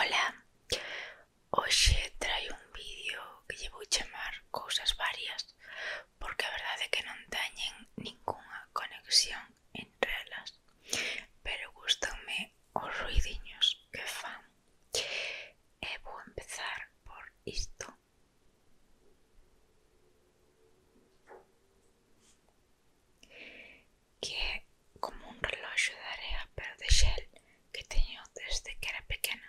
Ola, hoxe trai un vídeo que lle vou chamar cousas varias porque a verdade é que non teñen ningunha conexión entre elas pero gustanme os ruidiños que fan e eh, vou empezar por isto que é como un reloxo de area pero de xel que teño desde que era pequena.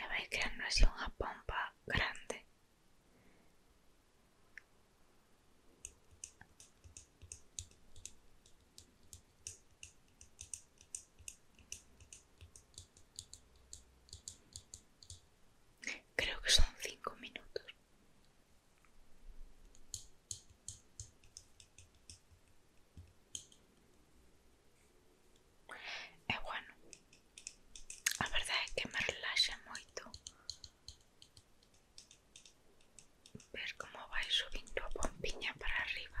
E vai creando así unha pompa grande. Creo que son cinco minutos. E bueno, a verdade é que me relaxa moito ver como vai subindo a pompiña para arriba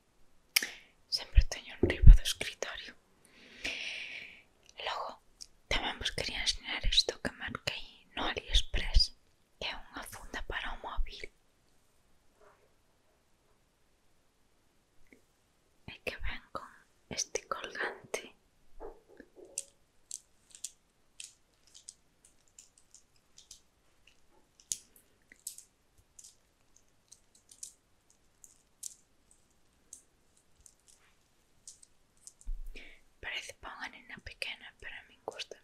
sempre teño enriba do escritorio logo tamén vos quería ensinar isto que marquei no Aliexpress que é unha funda para o móvil e que ven con este colgante Parece panganina pequena, pero a gusta.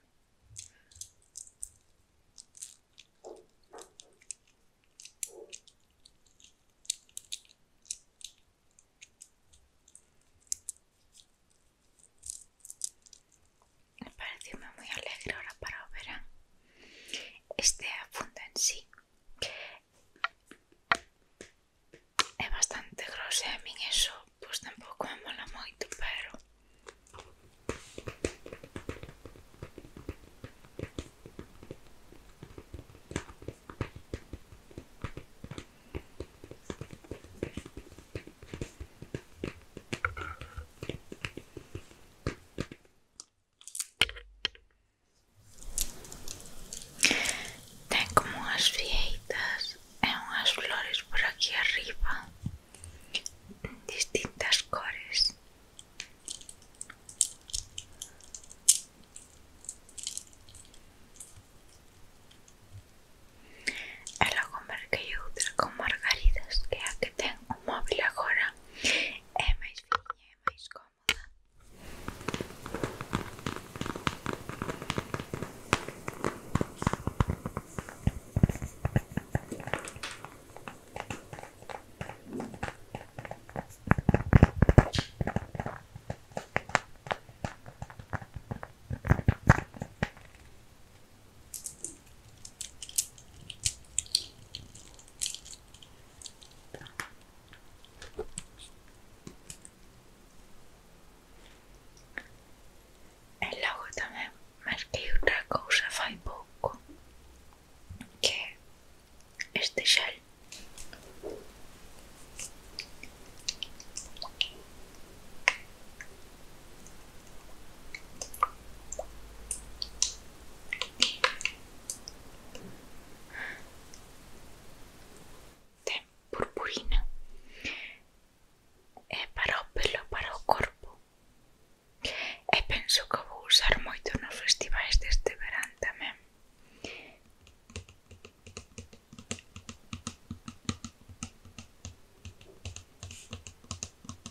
pareceme moi alegre ahora para o verán este afundo en sí é bastante grosso e a min eso pois tampouco me mola moito pero Ten como unhas fieitas e unhas um flores por aquí arriba distintas cores E logo merquei con margaridas que é a que ten o móvil agora É mais fininha, é mais cômoda. E logo tamén marquei outra cousa fai pouco que este xel Ten purpurina É eh, para o pelo, para o corpo E penso que vou usar moito nos festivais deste verán tamén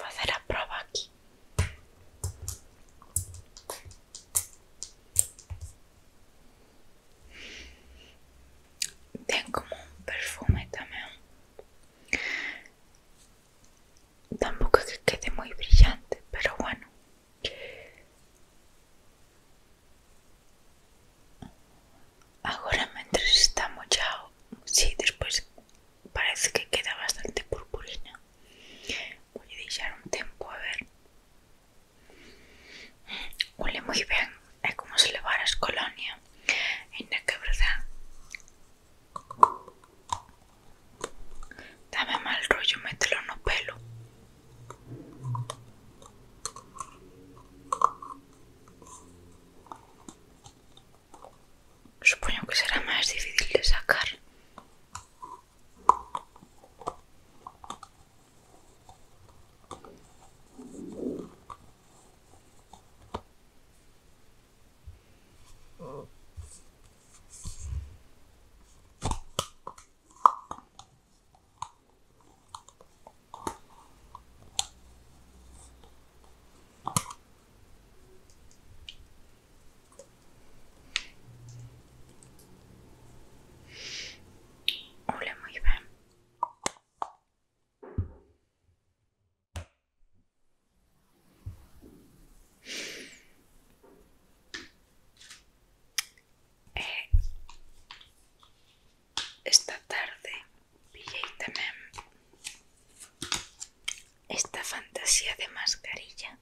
a hacer a prueba aquí Tengo como un perfume también. Tampoco es que quede muy brillante, pero bueno. Ahora mientras está mochado, sí, después parece que queda bastante purpurina. Voy a dejar un tiempo, a ver. Huele muy bien, es como si le levaras colonia. no, que verdad. Dame mal rollo, mételo el pelo. Supongo que será más difícil de sacar. Huele muy bien. Eh, esta tarde pillé esta fantasía de mascarilla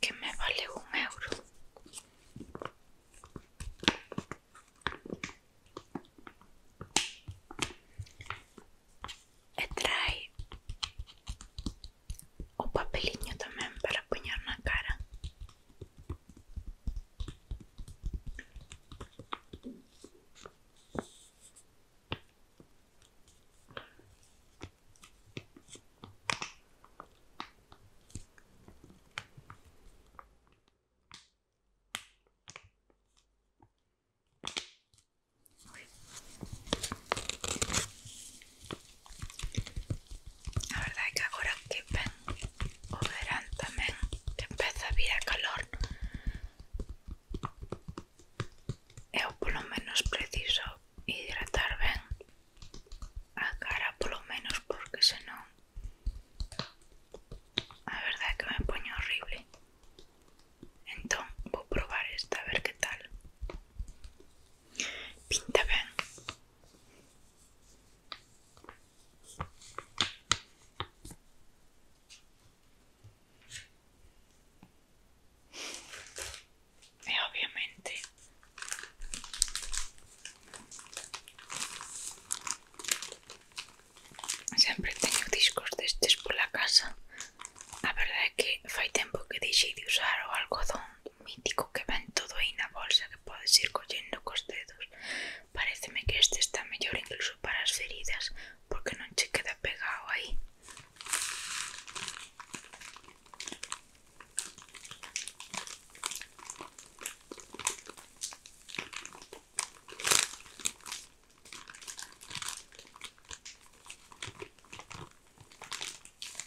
que me vale un euro e o papelinho también para apuñar una cara. A verdade é que agora que ven o verán tamén que empeza a vir a calor eu polo menos preciso hidratar ben a cara polo menos porque senón a verdade é que me poño horrible entón vou probar esta a ver que tal Pinta ben. E ovviamente sempre teño discos destes pola casa. A verdade é que fai tempo que deixei de usar o algodón mítico que va en todo en la bolsa que puedes ir con los dedos Pareceme que este está mejor incluso para las heridas porque no se queda pegado ahí.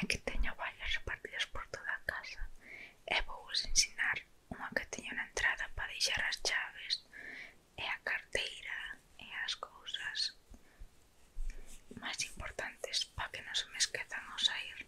É que teño vallas repartidas por toda a casa e vouvos ensinar unha que teño na entrada para deixar as chaves e a carteira e as cousas máis importantes para que non se me esquezan ao sair.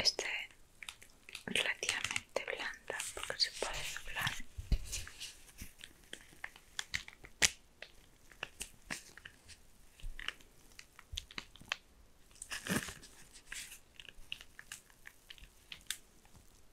Este es relativamente blanda porque se puede doblar.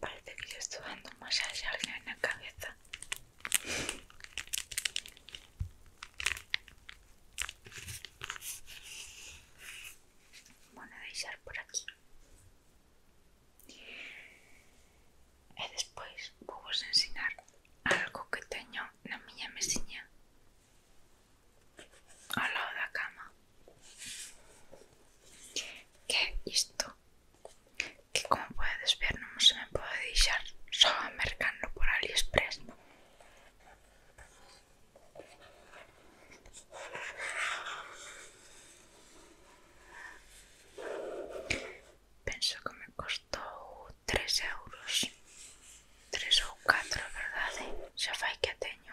Parece que yo estoy dando un masaje a en la cabeza. a dejar por aquí. y después voy a enseñar algo que teño mía me enseña al lado de la cama que esto, que como puedes ver no se me puede editar, solo a mercando por aliexpress penso que me costou 3 euros 3 ou 4, verdade? Xa fai que a teño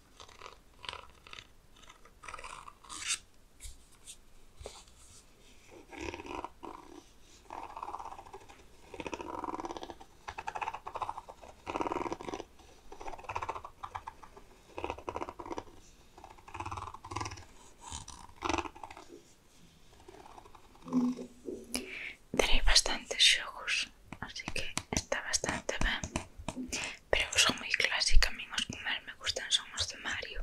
Tenéis bastantes ojos, así que está bastante bien pero son muy clásicas amigos, mí me gustan son los de Mario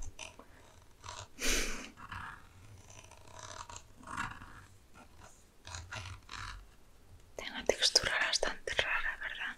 tengo textura bastante rara, verdad?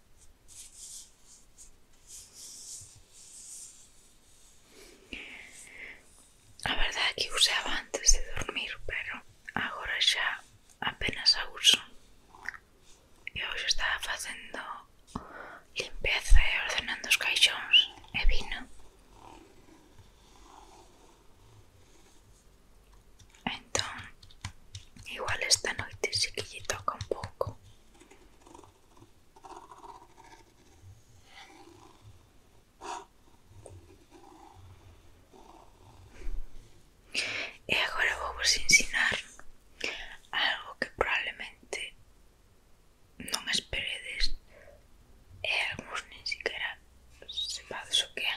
A verdade é que usaba antes de dormir, pero agora xa apenas a uso. E hoxe estaba facendo limpeza e ordenando os caixóns e vino. Entón, igual esta noite si que lle toca un pouco. E agora vou vos ensinar algo que probablemente non esperedes e eh, algúns nin siquiera sepades o que é.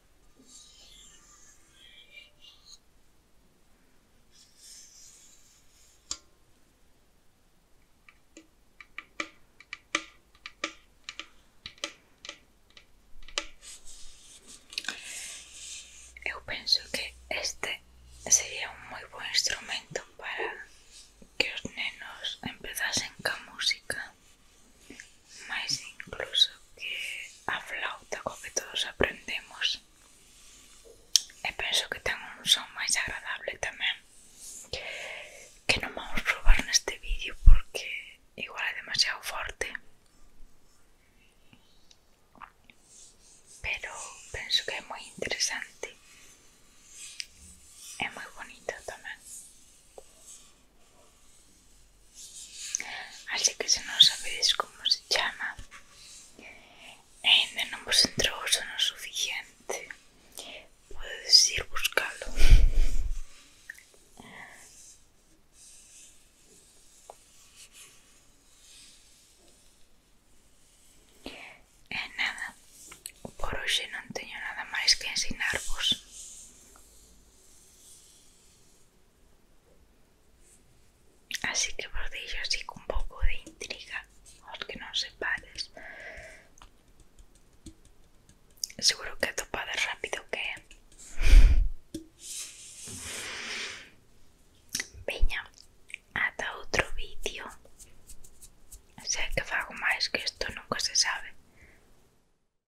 Eu penso que este sería un moi bo instrumento para que os nenos empezasen ca música máis incluso que a flauta co que todos aprendemos e penso que ten un son máis agradable tamén que non vamos probar neste vídeo porque igual é demasiado forte pero penso que é moi interesante é moi bonito tamén Así que se non sabedes como se chama e ainda non vos entrou o sono suficiente podedes ir buscalo E eh, nada, por hoxe non teño nada máis que ensinarvos Así que vos deixo así con un pouco de intriga aos que non sepades. Seguro que atopades rápido que é. Veña, ata outro vídeo. Sei que fago máis que isto nunca se sabe.